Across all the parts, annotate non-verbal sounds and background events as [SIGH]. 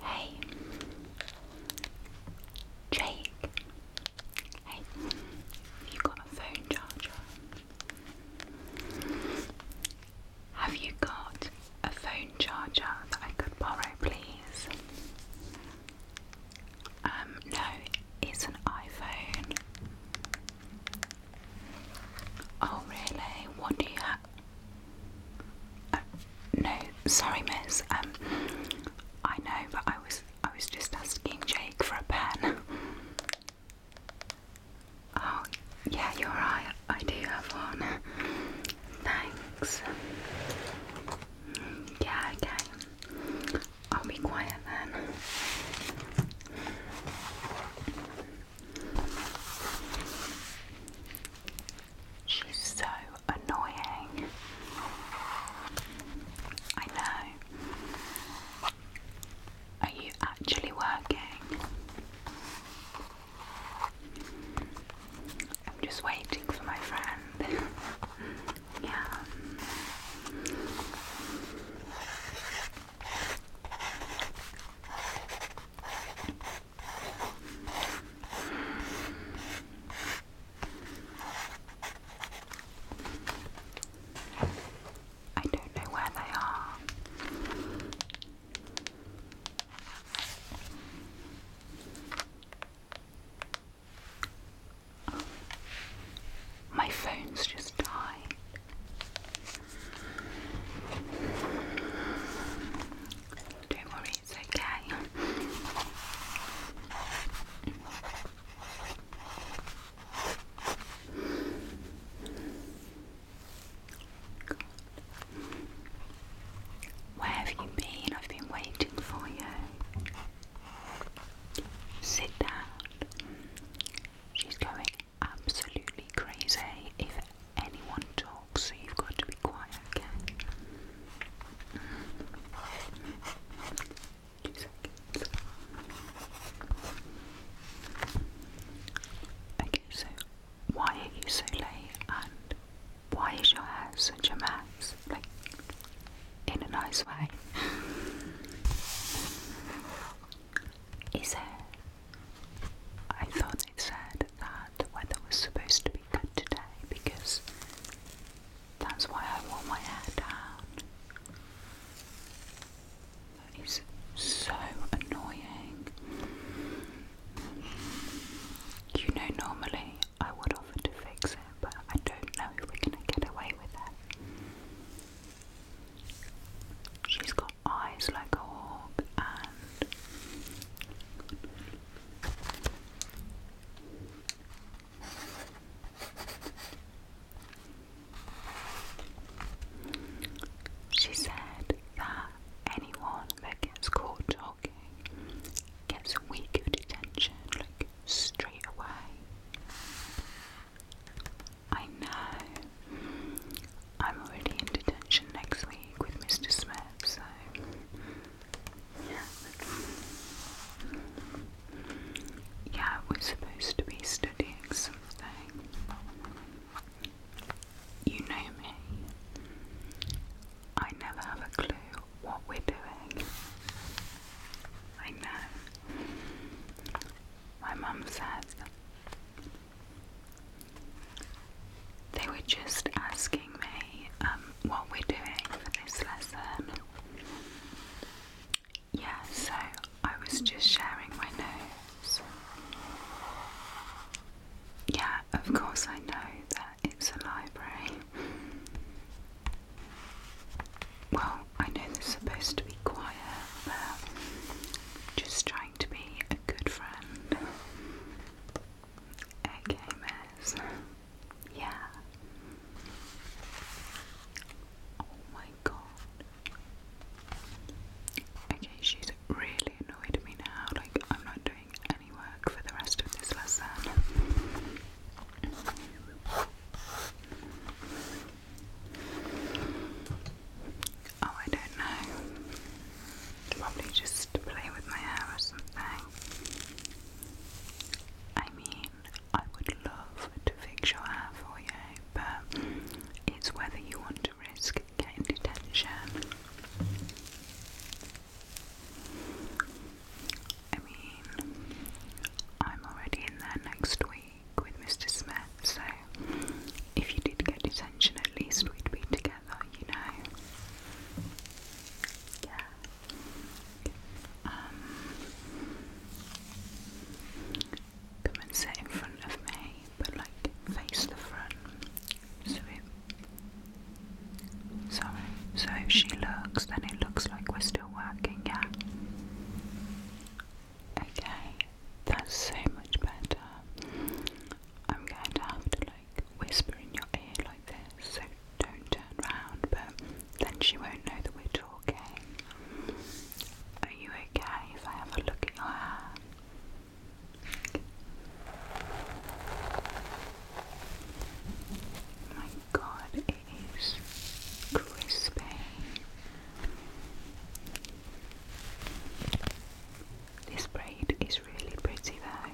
Hey, Jake. Hey, have you got a phone charger? Have you got a phone charger that I could borrow, please? Um, no, it's an iPhone. Oh, really? What do you have? no, sorry, Miss. Um, I know, but I was I was just asking Jake for a pen. oh, yeah, you're right. I do have one. Thanks. Yeah, okay. I'll be quiet then. She's so annoying. I know. Are you actually working? I'm just waiting for my friend. [LAUGHS] yeah. I don't know where they are. My phone's just died. Don't worry, face, okay? Where have you been? I've been waiting for you. Sit down. She's going absolutely crazy. If anyone talk, so you've got to be quiet, okay? Two seconds. Okay, so why are you so late and why is your hair such a mess? Like, in a nice way. Is it? I thought it said that the weather was supposed to be today because that's why I wore my hair down. That is so annoying. You know, normally I would offer to fix it, but I don't know if we're going to get away with it. She's got eyes like a hawk she said that anyone that gets caught talking gets a week of detention, like straight away. I know. I'm already in detention next week with Mr. Smith, so yeah. we're supposed to be studying something. You know me. I never have a clue what we're doing. I know. My mum says they were just asking me um, what we're doing for this lesson. Yeah, so I was just sharing my nose. Yeah, of course, I know that it's a library. Well, I know they supposed to be quiet, just trying to be a good friend. Okay, miss. Yeah. Oh my god. Okay, she's really annoyed at me now. Like, I'm not doing any work for the rest of this lesson. Oh, I don't know. Probably just play with my hair or something. I mean, I would love to fix your hair for you, but it's whether you want to risk getting detention. I mean, I'm already in there next week with Mr. Smith, so if you did get detention, at least we'd be together. Oh, you know. Yeah. Um, come and sit in front of me, but like face the front. So So if she looks, then it looks like we're still working, yeah. Okay, that's so much better. I'm going to have to like whisper in your ear like this, so don't turn round, but then she won't know that we're talking. Are you okay if I have a look at your hair? my god, it is crispy. This braid is really pretty though.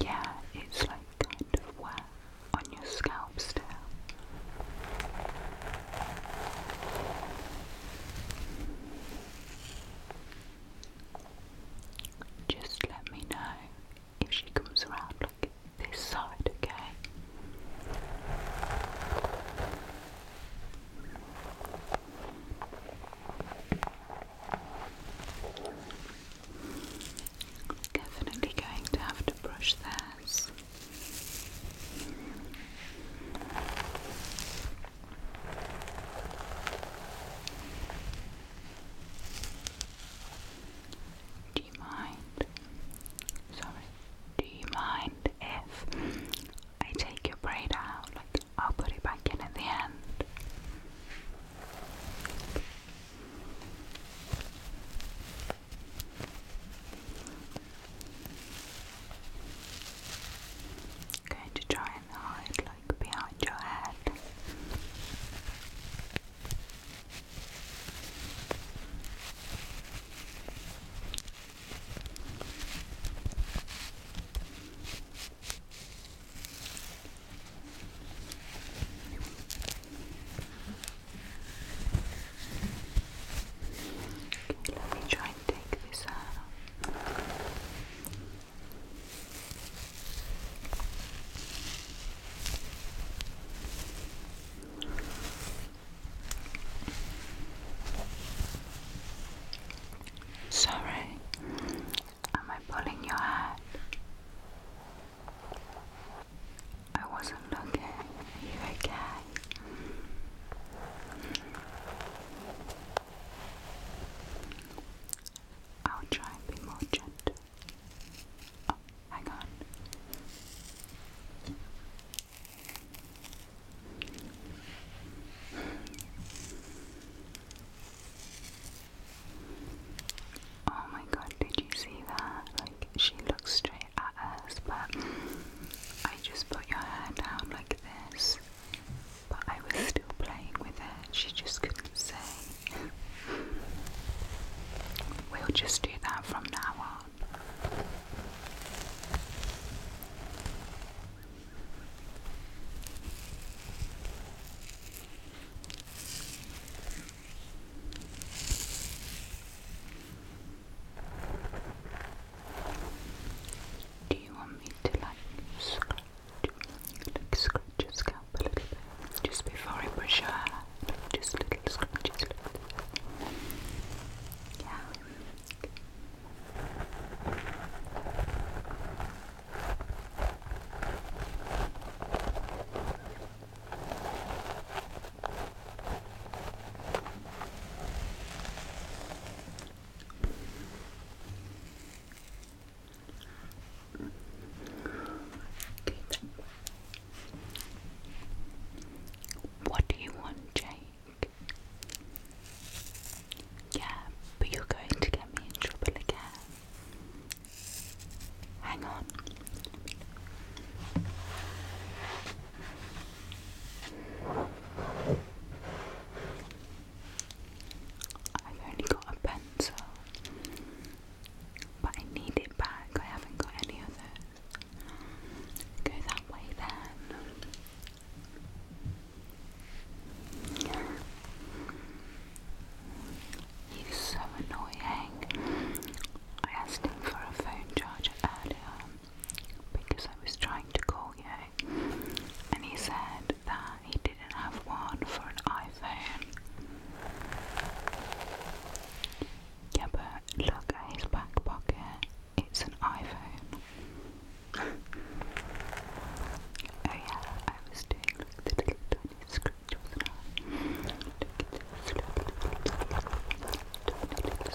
Yeah, it's like kind of wet on your scalp still. Just let me know if she comes around like this side, okay? Definitely going to have to brush theirs. Do you mind? Sorry. Do you mind if I take your braid out? Like I'll put it back in at the end. I'm going to try and hide like behind your head. Let me try and take this out. Sorry, am I pulling your hat? I wasn't looking. you okay? I'll try and be more gentle. Oh, hang on. Oh my god, did you see that? Like, she looks straight at us, but I just put your hair down like but I was still playing with it. She just couldn't say. We'll just do that from now on. Do you want me to like scratch, like scratch your scalp a little bit just before I brush your hair? Like just little little bit. Yeah. What do you want, Jake? Yeah, but you're going to get me in trouble again. Hang on. I've only got a pencil, but I need it back. I haven't got any of those. that way then. He's so annoying. I asked him for a phone charger earlier because I was trying to call you, and he said that he didn't have one for an iPhone. Yeah, but look at his back it's an iPhone. [LAUGHS] oh, yeah, I was doing like the little tiny scratch, wasn't I? the little,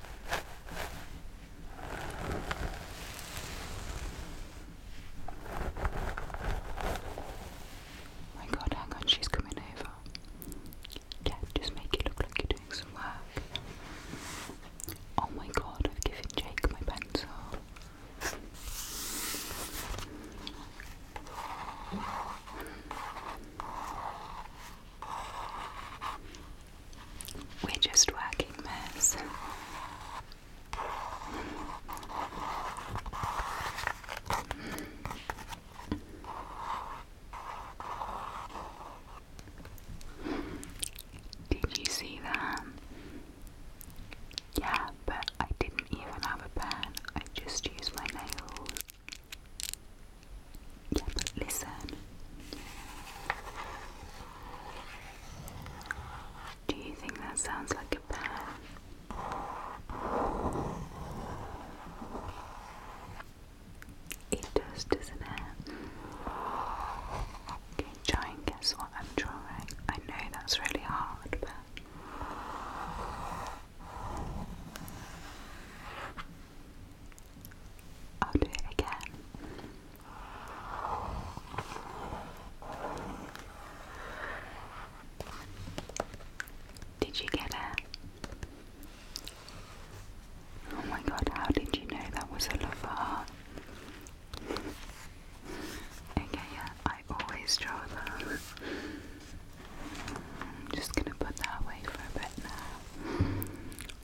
Oh my god, hang on, she's coming over. Yeah, just make it look like you're doing some work. Oh my god, I've given Jake my pencil. We're just working this. Did you see that? Yeah, but I didn't even have a pen, I just used my nails. Yeah, but listen. Do you think that sounds like a pan? It does, doesn't it? Okay, try and guess what I'm drawing. I know that's really hard, but. I'll do it again. Did you get it? Oh my god, how did you know that was a love Okay, yeah, I always draw them. I'm just gonna put that away for a bit now.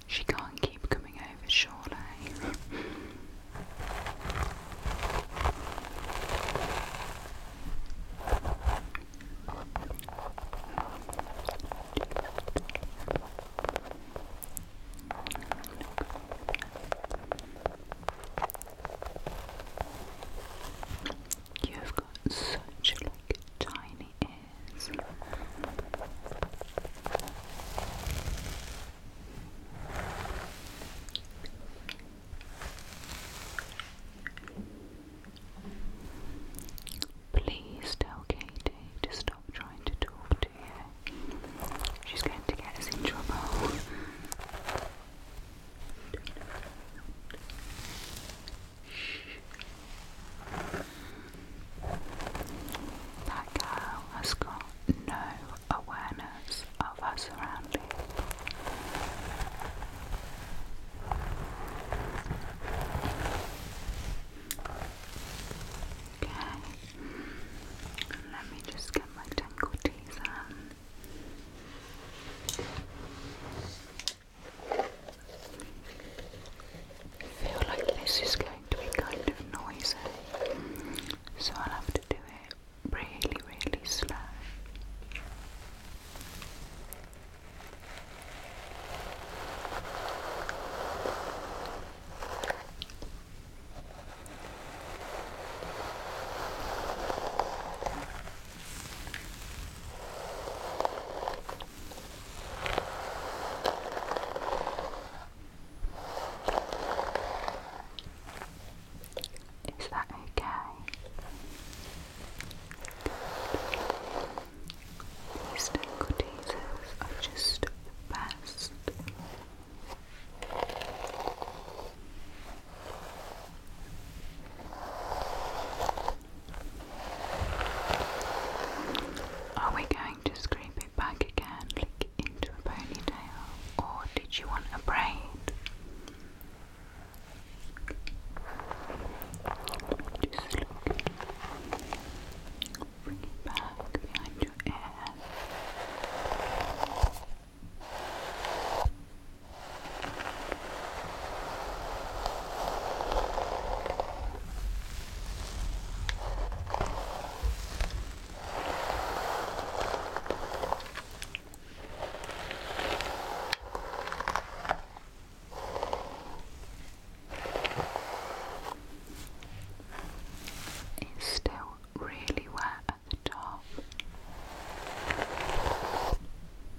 She can't keep coming over, surely. You've got such like tiny Please tell Katie to stop trying to talk to you. She's going to get us in trouble. That girl has got no awareness of her surroundings. Okay, let me just get my tangle teas I feel like this is going to be kind of noisy, so I'll have to do it really, really slow. Is that okay? These tingle teasers are just the best. Are we going to scrape it back again, like into a ponytail, or did you want a braid? Just look. Bring it back behind your ear. It's still really wet at the top.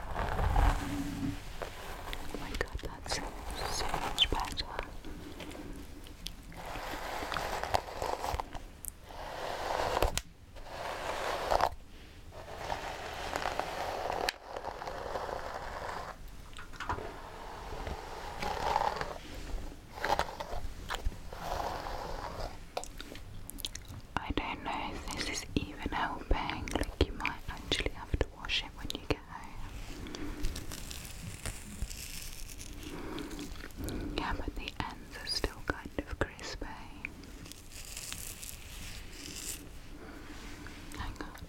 Oh my god, that's so much better. I don't know if this is even helping. Like, you might actually have to wash it when you get home. Yeah, but the ends are still kind of crispy. Hang on.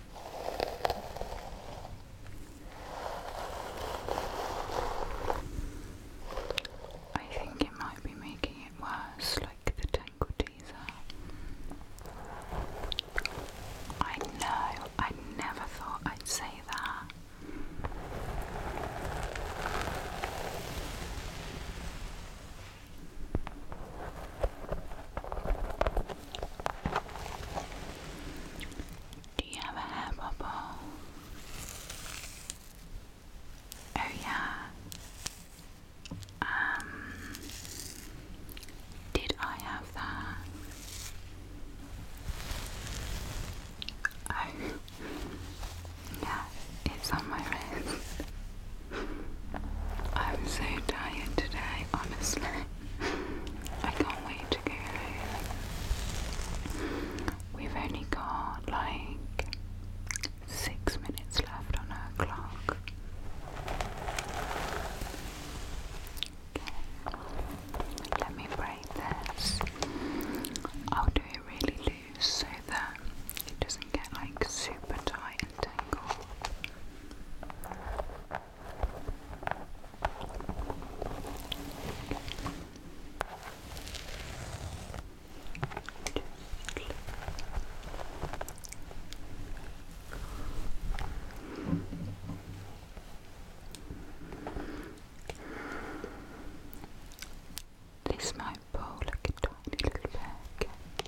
I think it might be making it worse, like the tangle teaser. I know, I never thought I'd say that. Do you have a hair bubble? Oh yeah. Um did I have that? Oh [LAUGHS] yeah, it's on my wrist. I'm so tired today, honestly. I can't wait to go. We've only got like six minutes left on our clock. Okay. Let me break this. I'll do it really loose so that it doesn't get like super tight and tangled. This might bowl a tiny little bag.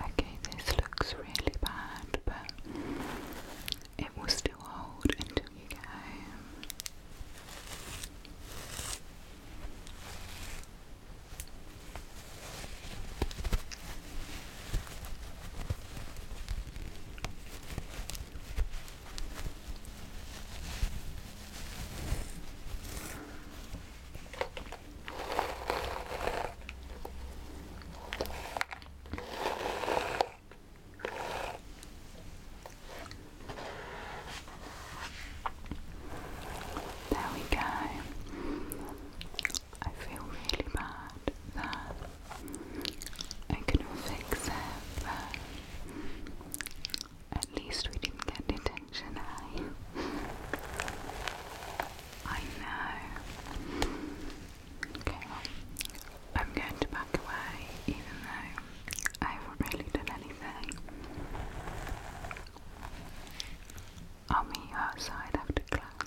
Okay, this looks really bad, but it will still hold until you get home. There we go. I feel really bad that I could fix it, at least we didn't get detention, eh? I know. Okay, well, I'm going to back away even though I haven't really done anything. I'll meet you outside after class.